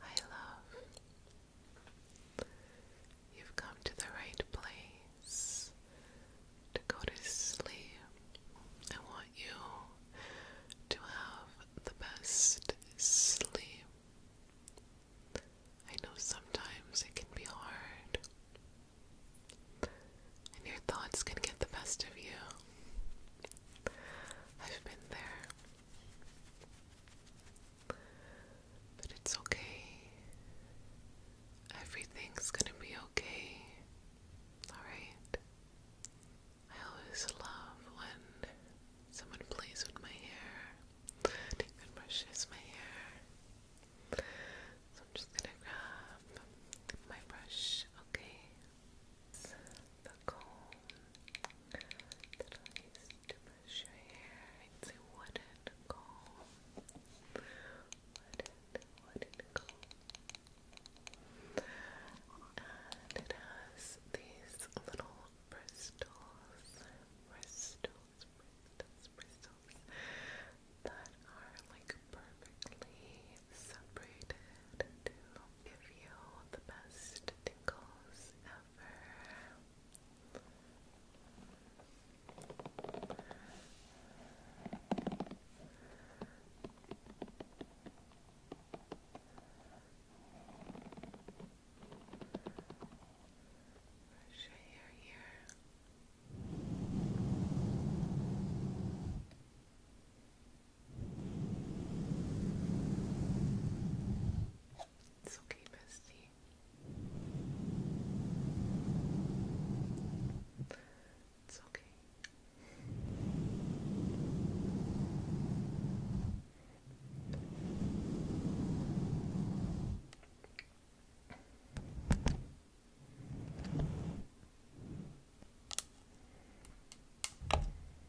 I love. You've come to the right place to go to sleep. I want you to have the best sleep. I know sometimes it can be hard, and your thoughts can get the best of you. I've been there. But it's okay. Everything's gonna be okay. Alright? I always love when someone plays with my hair and brushes my hair. So I'm just gonna grab my brush, okay? The comb. It's a wooden comb. Wooden, wooden comb. And it has these little crystals, bristles, bristles, bristles that are like perfectly separated into give you the best tickles ever. Brush your hair here. It's okay, bestie. It's okay.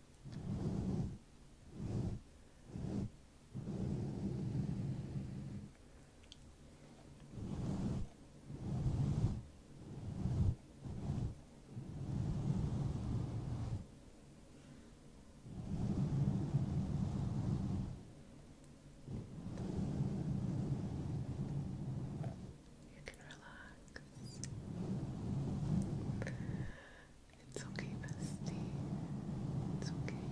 You can relax. It's okay, bestie. It's okay.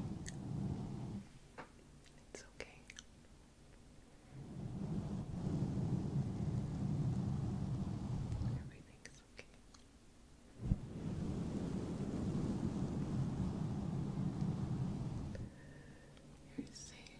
It's okay. Everything's okay. You're safe.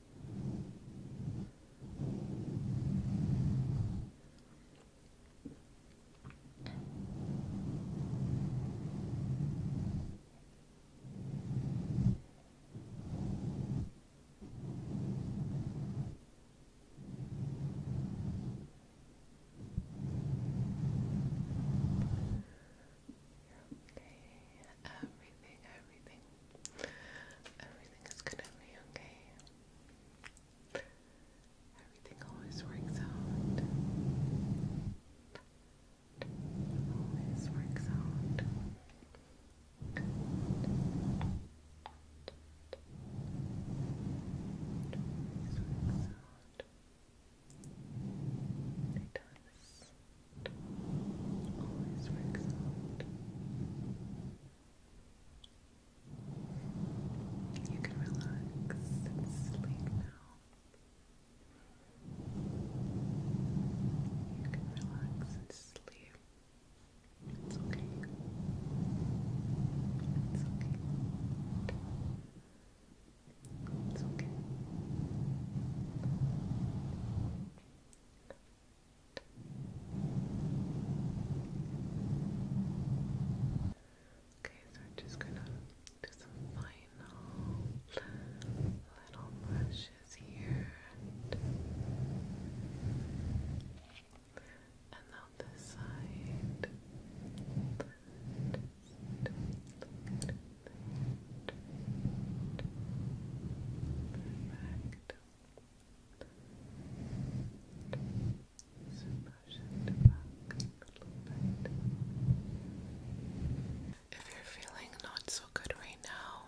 you okay. Everything, everything Everything is gonna be okay. Everything always works out. Always works out. Always works out. It does. Always works out. You can relax and sleep now. You can relax and sleep. It's okay. It's okay. It's okay. It's okay. Okay, so I'm just gonna do some final little brushes here. And on this side, Perfect. If you're feeling not so good right now,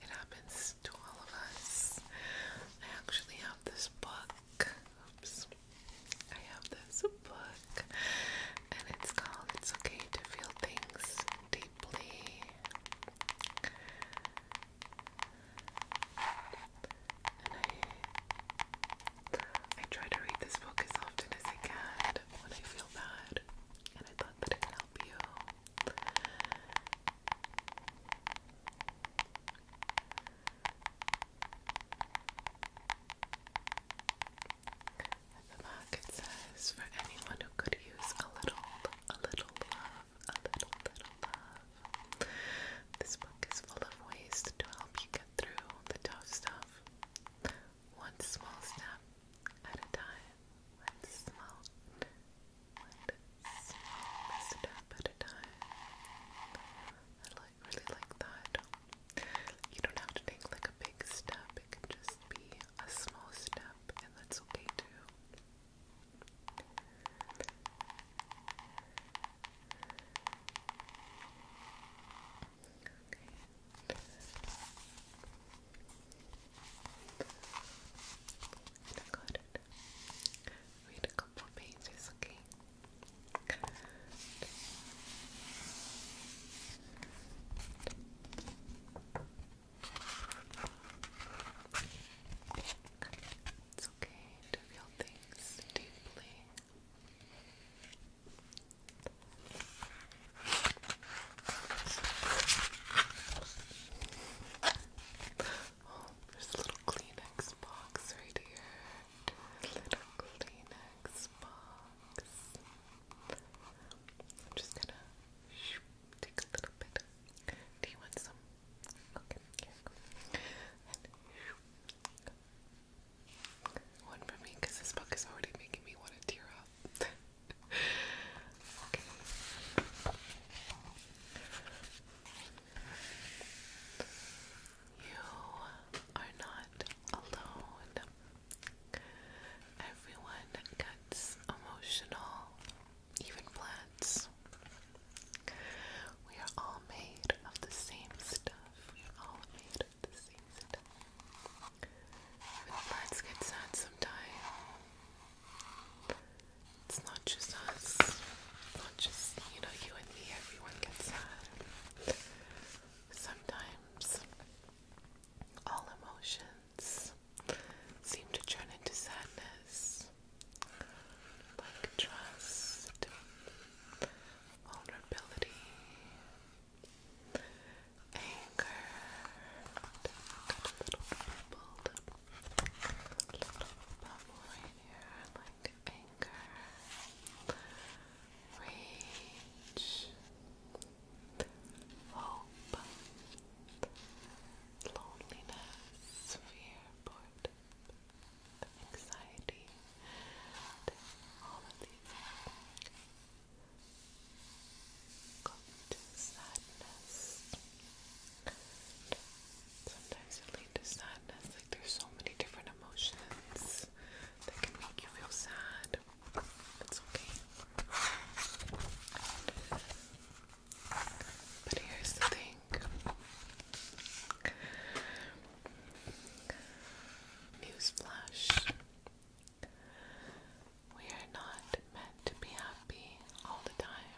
it happens to all of us. I actually have this book. Oops. I have this book and it's called It's Okay to Feel Things I, I try to read this book as often as I can when I feel bad, and I thought that it could help you. the back, it says for anyone who could use a little a little love, a little, little love. This book is full of ways to help you get through the tough stuff. One small step at a time. One small, one small step at a time. I like, really like that. You don't have to take like a big step, it can just be a small step, and that's okay too. Okay. And Read a couple pages, Okay. It's okay to feel things deeply. there's a little Kleenex box right here. little Kleenex box. just gonna Take a little bit. Do you want some? Okay, here you one for me, because this book is already making me want to tear up. You are not alone. Everyone emotional, even plants. We are all made of the same stuff. We are all made of the same stuff. Even plants get sad sometimes. It's not just us. not just, you know, you and me. Everyone gets sad. Sometimes all emotions seem to turn into sadness, like trust, vulnerability, anger, a little bubble, a little like anger, rage, hope, loneliness, fear, boredom, anxiety, all of these go to sadness. Sometimes it leads to sadness, like there's so many different emotions that can make you feel sad. It's okay. But here's the thing. Newsflash. We are not meant to be happy all the time.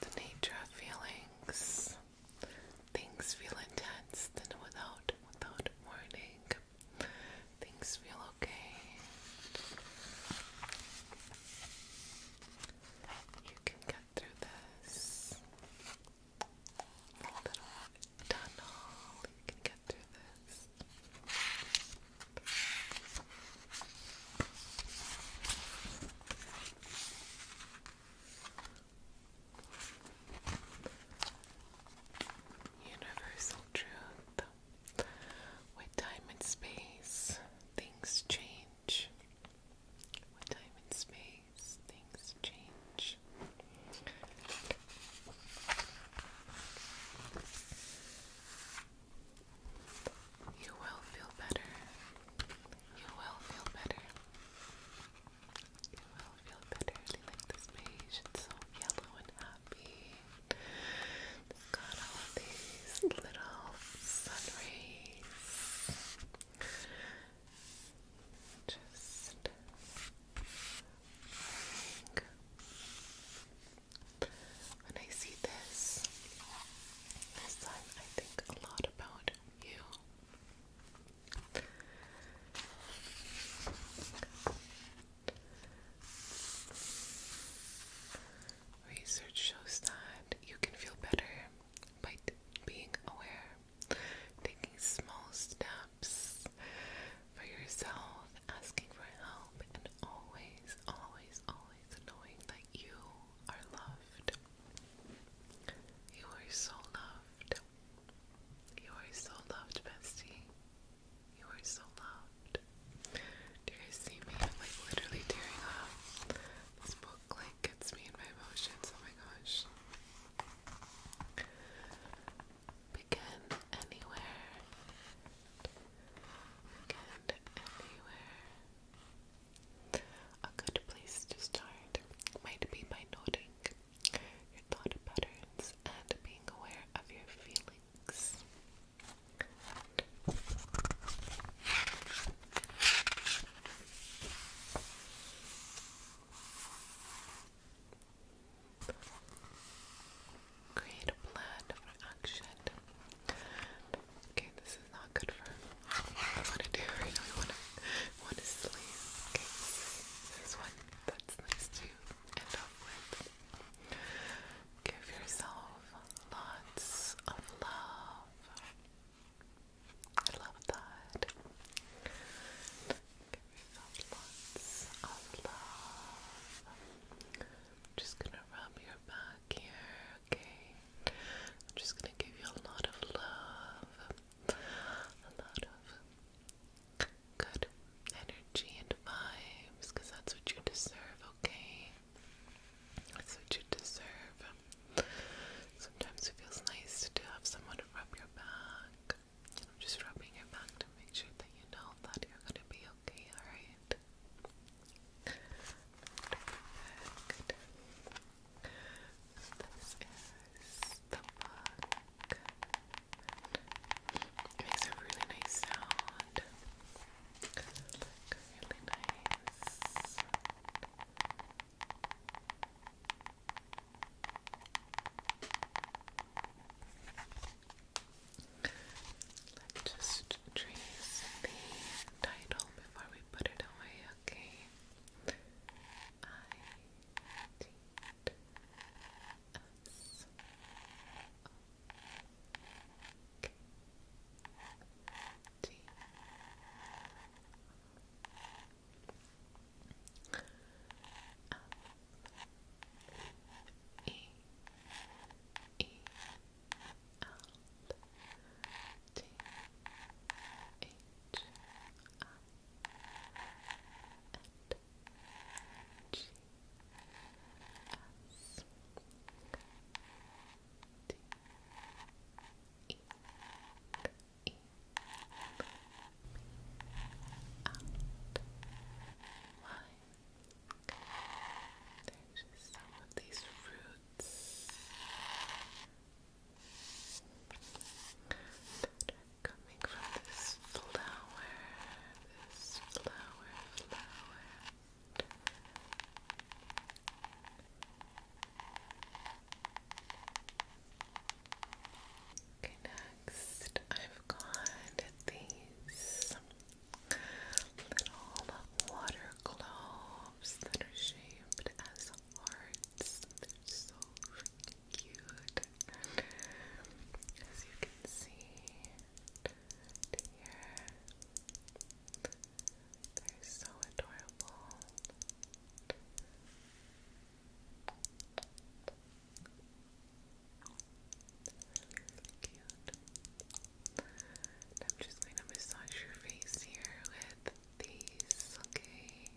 The nature of feelings. Things feel intense then without without warning. Things feel okay. You can get through this. little tunnel. You can get through this. Universal truth. With time and space, things change. With time and space, things change. You will feel better. You will feel better. You will feel better. I really this page. It's so yellow and happy. got all these little sun Just when I see this, this time I think a lot about you. Research shows that you can feel better by being aware, taking small steps for yourself yourself, asking for help, and always, always, always knowing that you are loved. You are so loved. You are so loved, bestie. You are so loved. Do you guys see me? like literally tearing up. This book like gets me in my emotions. Oh my gosh. Begin anywhere. Weekend anywhere. A good place to start might be by noting your thought patterns and being aware of your feelings. Create a plan for action. Okay, this is not good for what to do right now. I want to, want to sleep. this is one that's nice to end up with. Give yourself lots of love. I love that. Give yourself lots of love. I'm just gonna rub your back here, okay? I'm just gonna give you a lot of love, a lot of good energy and vibes, because that's what you deserve, okay? That's what you deserve. Sometimes it feels nice to have someone to rub your back. I'm just rubbing your back to make sure that you know that you're gonna be okay, alright? Perfect. This is the book. It makes a really nice sound. Like really nice. Let's just trace the title before we put it away, okay? I T S O K T F E E L T H I and there's just some of these roots coming from this flower, this flower, flower. Okay, next I've got these little water globes that are shaped as hearts. They're so cute. As you can see here, they're so adorable. I'm just going to massage your face here with these, okay?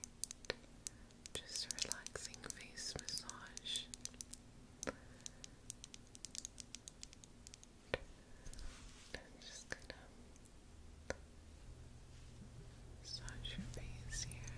Just a relaxing face massage. I'm just gonna massage your face here.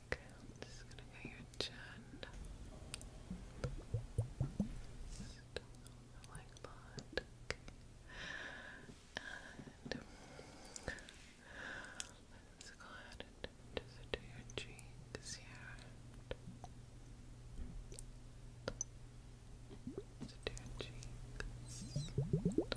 Okay, just gonna get your chin. like that. And let's um, go ahead and just do your cheeks here. do your cheeks.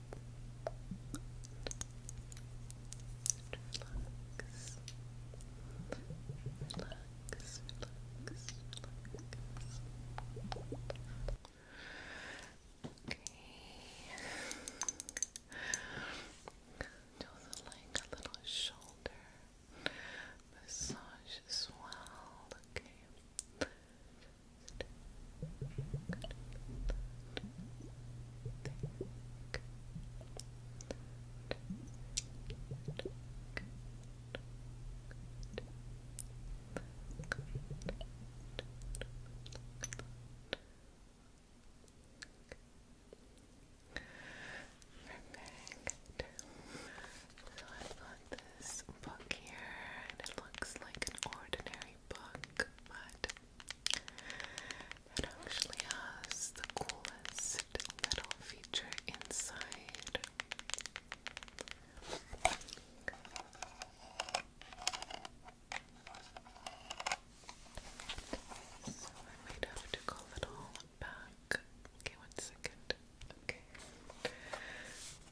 relax, relax, relax, Okay. Do the like a little shoulder massage as well. Okay. Perfect. So I've this book here, and it looks like an ordinary my book, but it actually has the coolest little feature inside. So I might have to call it all back. Okay, one second.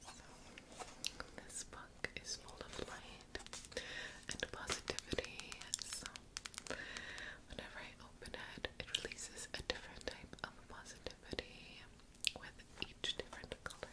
So this book book full of light and positivity. So, whenever I open it, it releases a different type of positivity with each different color.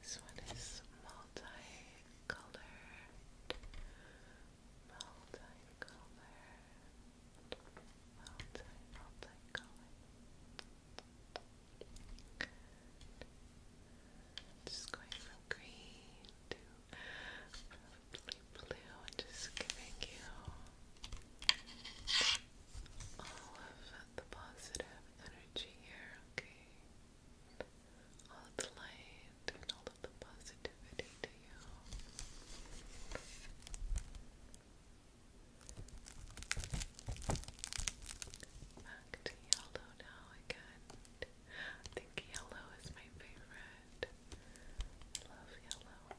This one is multicolored, multicolored, multi, multicolored. Just going from green to probably blue, just giving you all of the positive energy here, okay? All the light and all of the positivity to you. Back to yellow now again. I think yellow is my favorite. love yellow.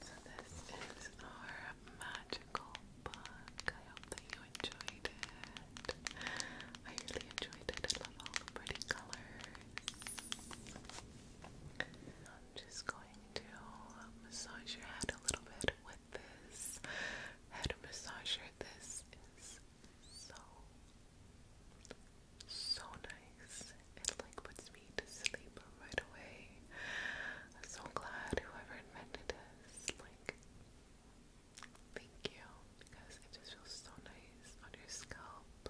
So this is our magical book. I hope that you enjoyed it. I really enjoyed it. I love all the pretty colors. I'm just going to massage your head a little bit with this head massager. This is so, so nice. It like puts me to sleep right away. so glad whoever invented this. Like, thank you because it just feels so nice on your scalp.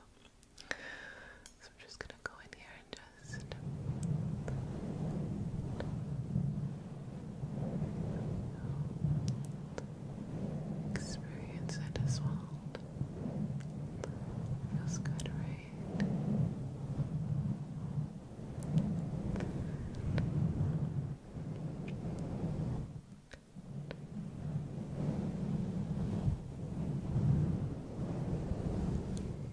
So I'm just gonna go in here and just next. Experience it as Feels good, right?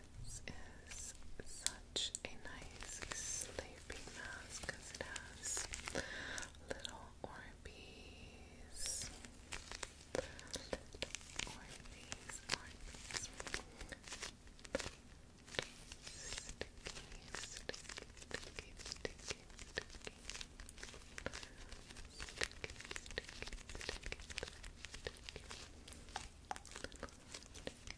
This is such a nice sleeping mask because it has little Orbeez. Little Orbeez, Orbeez. Sticky, sticky, sticky, sticky, sticky. Sticky, sticky, sticky, sticky. Little sticky,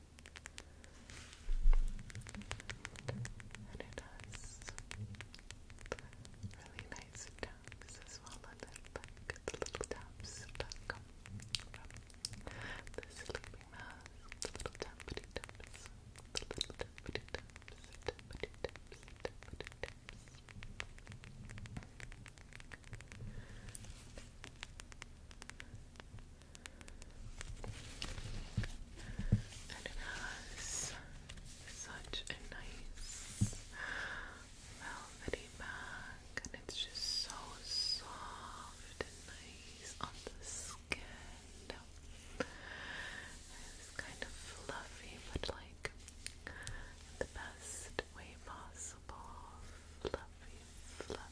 And it has really nice taps as well on it, the little taps that come from the sleeping mask, the little tappity the little tappity taps, tappity taps, tappity taps and it has such a nice velvety back, and it's just so soft and nice on the skin. It's kind of fluffy, but like the best way possible. Fluffy, fluffy.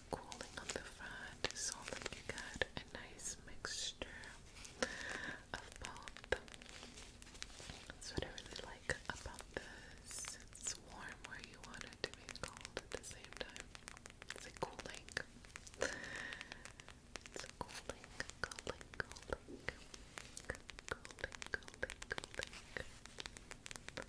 cooling on the front, so that you get a nice mixture of both. That's what I really like about this. It's warm where you want it to be cold at the same time. It's cooling. It's cooling, cooling, cooling. Cooling, cooling, cooling.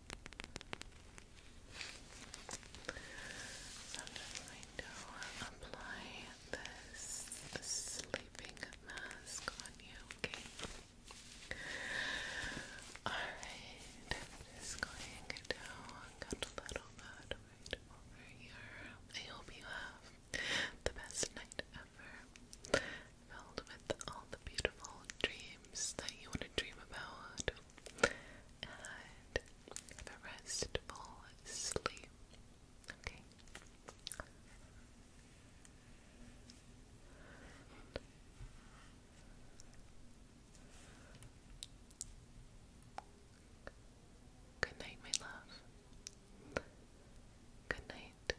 I'm just going to apply this sleeping mask on you, Alright, I'm going to cut a little bit over here. I hope you have the best night ever filled with all the beautiful dreams that you want to dream about, and restful sleep. Okay. Good night, my love. Good night.